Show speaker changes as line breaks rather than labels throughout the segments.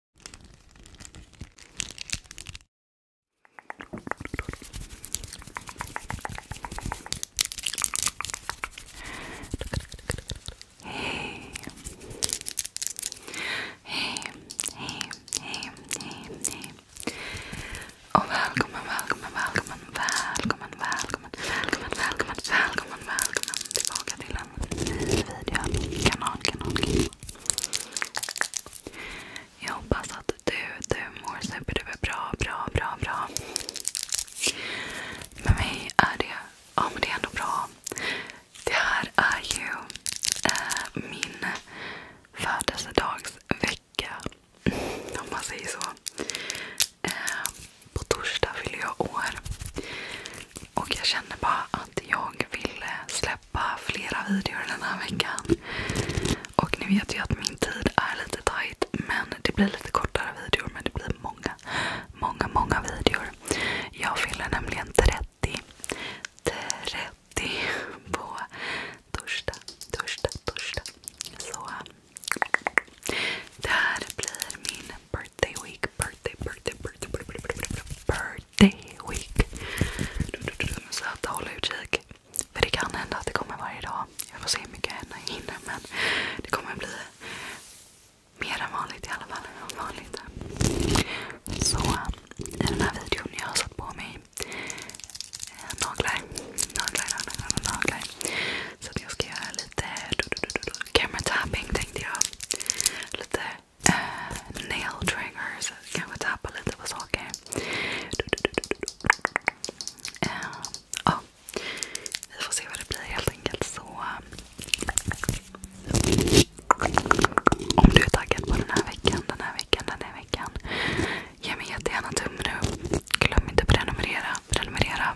Hej. Hej, hej, hej, hej, Och välkommen, välkommen, välkommen, välkommen, välkommen, välkommen, välkommen, välkommen, välkommen tillbaka till även video, Kanal, kanal, kanal. Jag hoppas att du, du mår superduper bra, bra, bra, bra. Med mig är det, ja men det är ändå bra. Det här är ju äh, min födelsedagsvecka. Om man säger så. Äh, på torsdag fyller jag år. Och jag känner bara att jag ville släppa flera videor den här veckan. Och ni vet ju att min tid är lite tight. Men det blir lite kortare videor. Men det blir många, många, många videor. Jag fyller nämligen 30. 30 på torsdag, torsdag, torsdag. Så det här blir min birthday week, birthday, birthday, birthday, birthday, birthday, birthday week. Så att håll utkik. För det kan hända att det kommer varje dag. Jag får se hur mycket jag hinner men det kommer bli mer än vanligt i alla fall. Vanligt. Så i eh, den här videon jag har satt på mig eh, naglar. Naglar, naglar, naglar. Så att jag ska göra lite camera tänkte jag. Lite eh, nail triggers. Kanske tappa lite på saker. Eh, Vi får se vad det blir helt enkelt. om du är taggad på den här veckan, den här veckan, den här veckan. Ge mig jättegärna tummen upp. Glöm inte att prenumerera. Prenumerera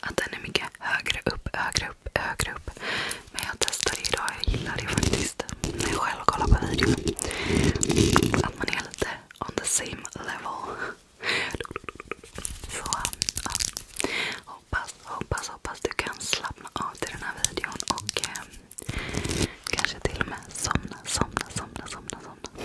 att den är mycket högre upp, högre upp, högre upp. Men jag testade idag, jag gillar det faktiskt. När jag själv kollar på videon. Att man är lite on the same level. Så ja. hoppas, hoppas, hoppas du kan slappna av till den här videon och eh, kanske till och med somna, somna, somna, somna, somna.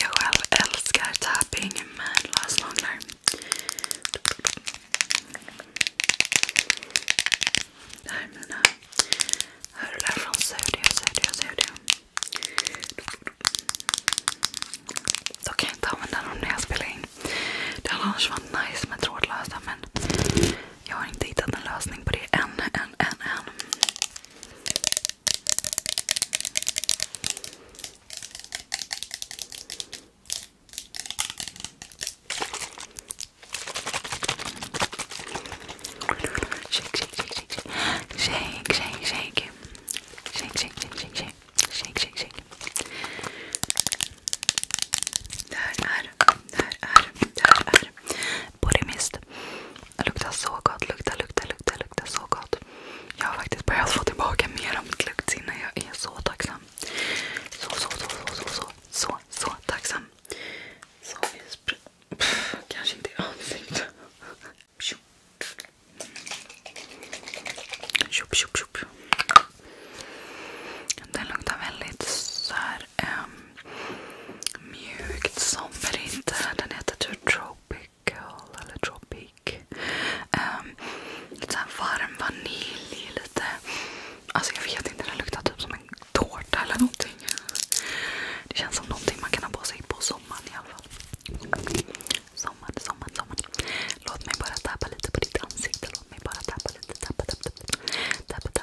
Jag själv älskar tapping med lösnaglar. Det här är mina hörlurar från Saudio, Saudio, Saudio. Så kan jag inte använda dem när jag spelar in. Det hade annars varit nice med trådlösa men jag har inte hittat en lösning på det än, än, än, än. Shake, shake, shake, shake, shake, shake, shake, shake, shake, shake, shake, shake, shake, shake, shake. Där är, där är, där är. Bodymist luktar så gott, luktar, luktar, luktar, luktar så gott. Jag har faktiskt börjat få tillbaka mer av mitt luktsinne. Jag är så tacksam. Så, så, så, så, så, så, så, tacksam. Kanske inte i ansiktet. Den luktar väldigt så är um, mjukt inte. Den heter typ Tropical eller Tropic. Um, lite såhär varm vanilj. Lite, alltså jag vet inte, den luktar typ som en tårta eller någonting. Det känns som någonting man kan ha på sig på sommaren i alla fall. Sommar, sommar, sommar. Låt mig bara tappa lite på ditt ansikte. Låt mig bara tappa lite. Tappa, tappa, tappa. tappa,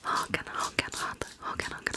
Hakan, hakan, hakan, hakan, hakan.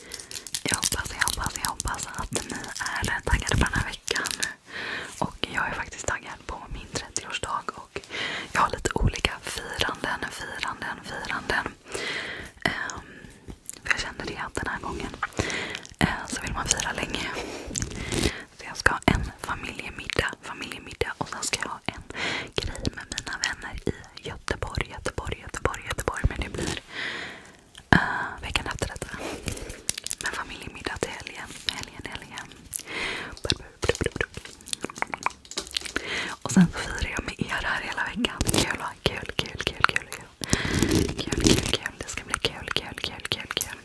Jag hoppas, jag hoppas, jag hoppas att ni är taggade på den här veckan. Och jag är faktiskt taggad på min 30-årsdag och jag har lite olika firanden, firanden, firanden. Ehm, för jag kände det att den här gången eh, så vill man fira länge. Så jag ska ha en familjemiddag, familjemiddag och sen ska jag ha en grej med mina vänner i Göteborg, Göteborg, Göteborg, Göteborg. Men det blir ner. Uh, veckan efter detta. Med familjemiddag till helgen. Helgen, helgen. Och sen så firar jag med er här hela veckan. Kul, kul, kul, kul, kul. Kul, kul, kul. kul. Det ska bli kul, kul, kul, kul, kul.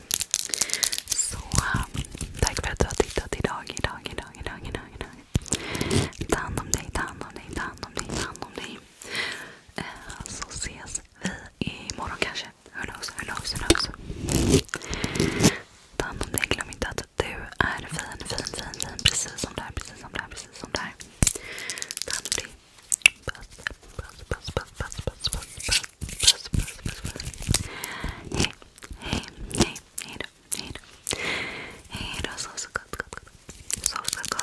Så um, tack för att du har tittat idag, idag, idag, idag, idag, idag. Ta hand om dig, ta hand om dig, ta hand om dig, ta hand om dig. så ses vi imorgon kanske. Who knows, who knows, Ta hand om dig. Glöm inte att du är fin, fin, fin, fin. Precis som där, precis som där, precis som där. Ta hand om dig. puss, puss, puss, puss, puss, puss, puss, puss. Hej, hej, hej, hej då. Hejdå. Hejdå soffskatt. Soffskatt.